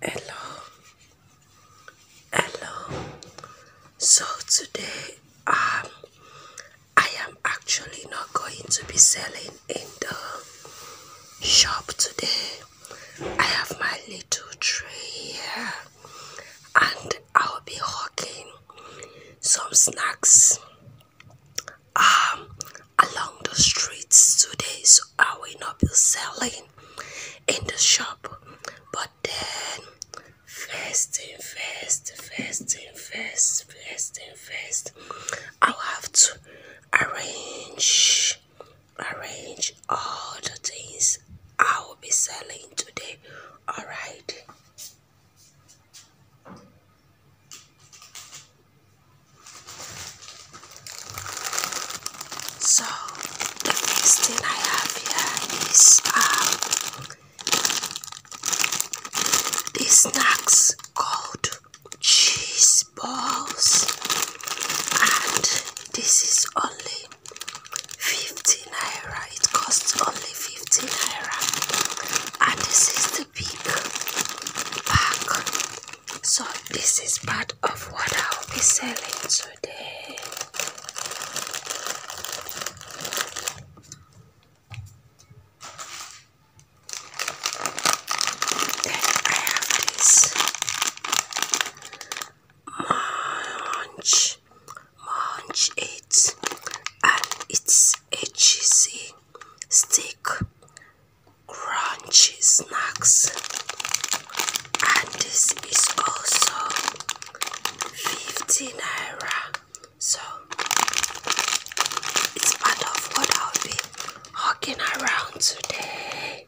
Hello, hello. So today, um, I am actually not going to be selling in the shop today. I have my little tree here and I'll be hawking some snacks um along the streets today so I will not be selling in the shop but then first thing first first thing first first thing first I'll have to arrange arrange all the things I will be selling today. All right. So the first thing I have here is um, these snacks called cheese balls, and this is only Fifteen naira it costs only fifteen naira and this is the big pack so this is part of what i'll be selling today then I have this munch munch it and it's a cheesy stick crunchy snacks and this is also 50 naira so it's part of what I'll be hugging around today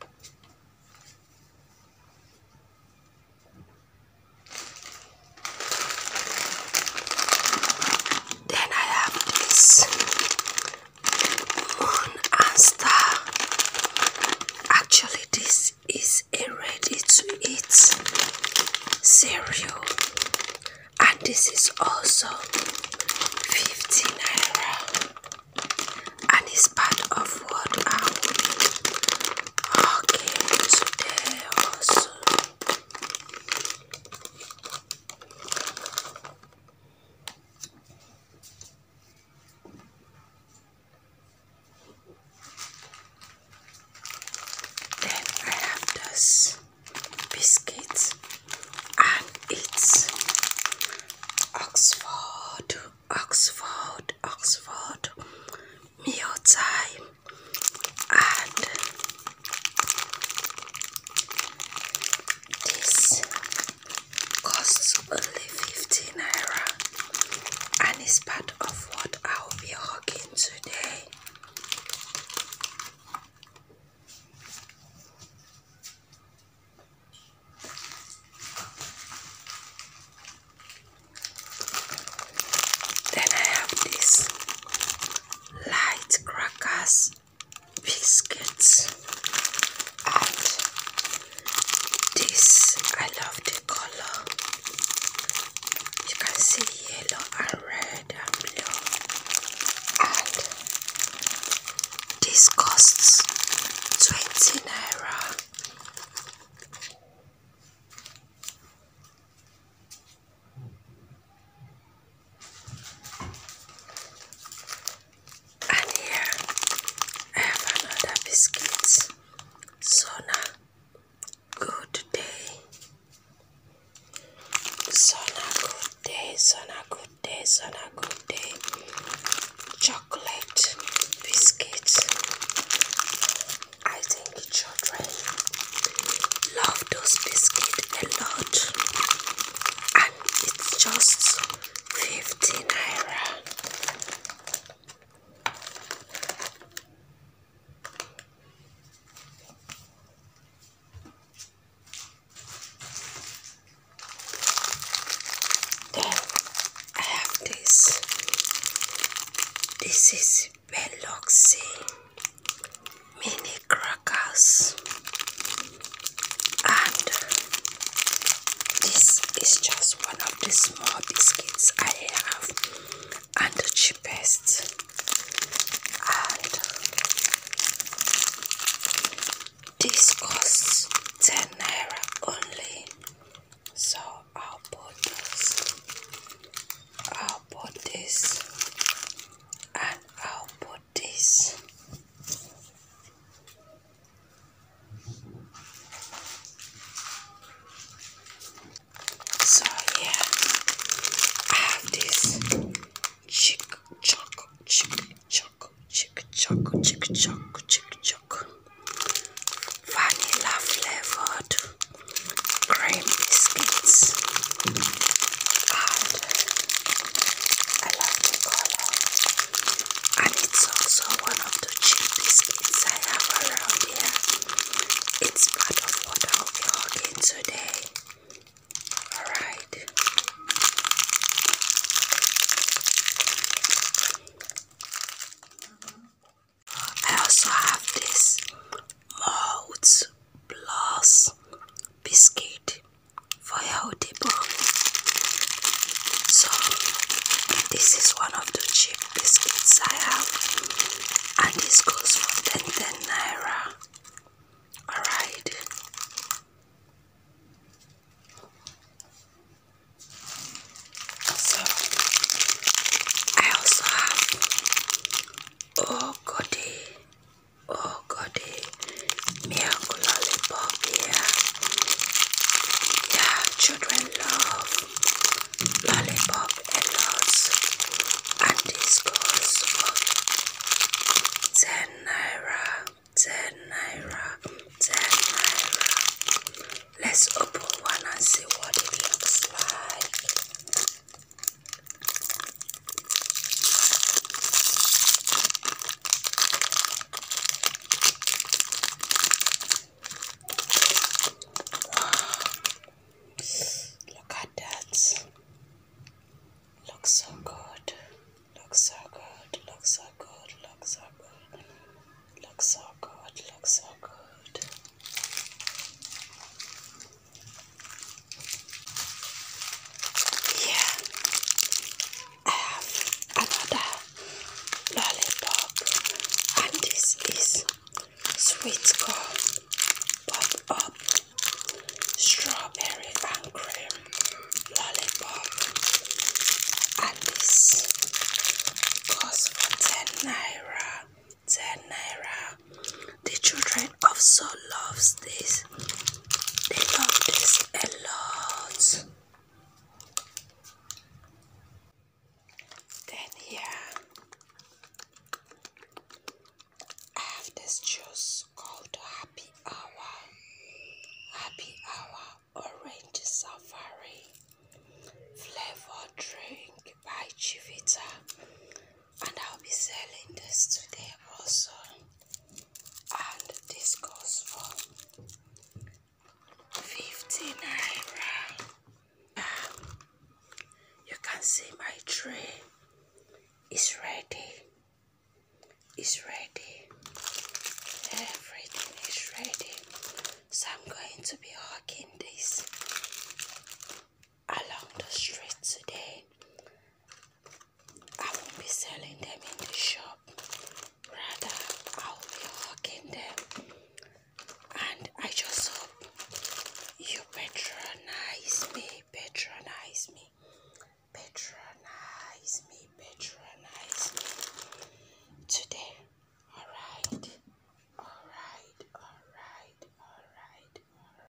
then I have this moon and star. Actually, this is a ready to eat cereal, and this is also fifteen naira and it's part of what I will. Okay, today Then I have this biscuits and it's Oxford, Oxford, Oxford meal time and this costs only 15 naira and it's part of what I'll be hugging today. Then I have this light crackers biscuits and this I love the color you can see yellow and red and blue and this costs 20 naira and here I have another biscuit so now good day. Sona good day, Sona good day, Sona good day. Chocolate biscuit. I think children love those biscuits a lot, and it's just 15 naira. I have this. This is Beloxi mini crackers, and this is just one of the small biscuits I have and the cheapest and this costs 10 naira only so I'll put this I'll put this and I'll put this so yeah, I have this chick choc chick choc chick choc chick choc chick choc vanilla flavored cream biscuits and I love the color and it's also one of the cheap biscuits I have around idea. It's part of what I'll vlog in today. Alright. I also have this Mold Plus biscuit for healthy bone. So this is one of the cheap biscuits I have, and this goes for 10 10 naira. Alright. So, I also have Oh Goody, eh, Oh Goody eh, milk lollipop here. Yeah, children love lollipop and lots and this goes for 10 let's open one and see what it looks like Look at that. Looks so good. Looks so good. Looks so good. Looks so good. Looks so good. Looks so good. Yeah. I have another lollipop, and this is sweet corn, pop up, strawberry and cream lollipop, and this costs for 10 naira. The children also loves this they love this a lot. Then here I have this juice called Happy Hour. Happy Hour Orange Safari Flavor Drink by Chivita. And I'll be selling this today also and this goes for 50 um, you can see my tree is ready is ready everything is ready so i'm going to be walking this along the street today I won't be selling them in the shop. Rather, I'll be hawking them. And I just hope you patronize me, patronize me, patronize me, patronize me today. Alright, alright, alright, alright,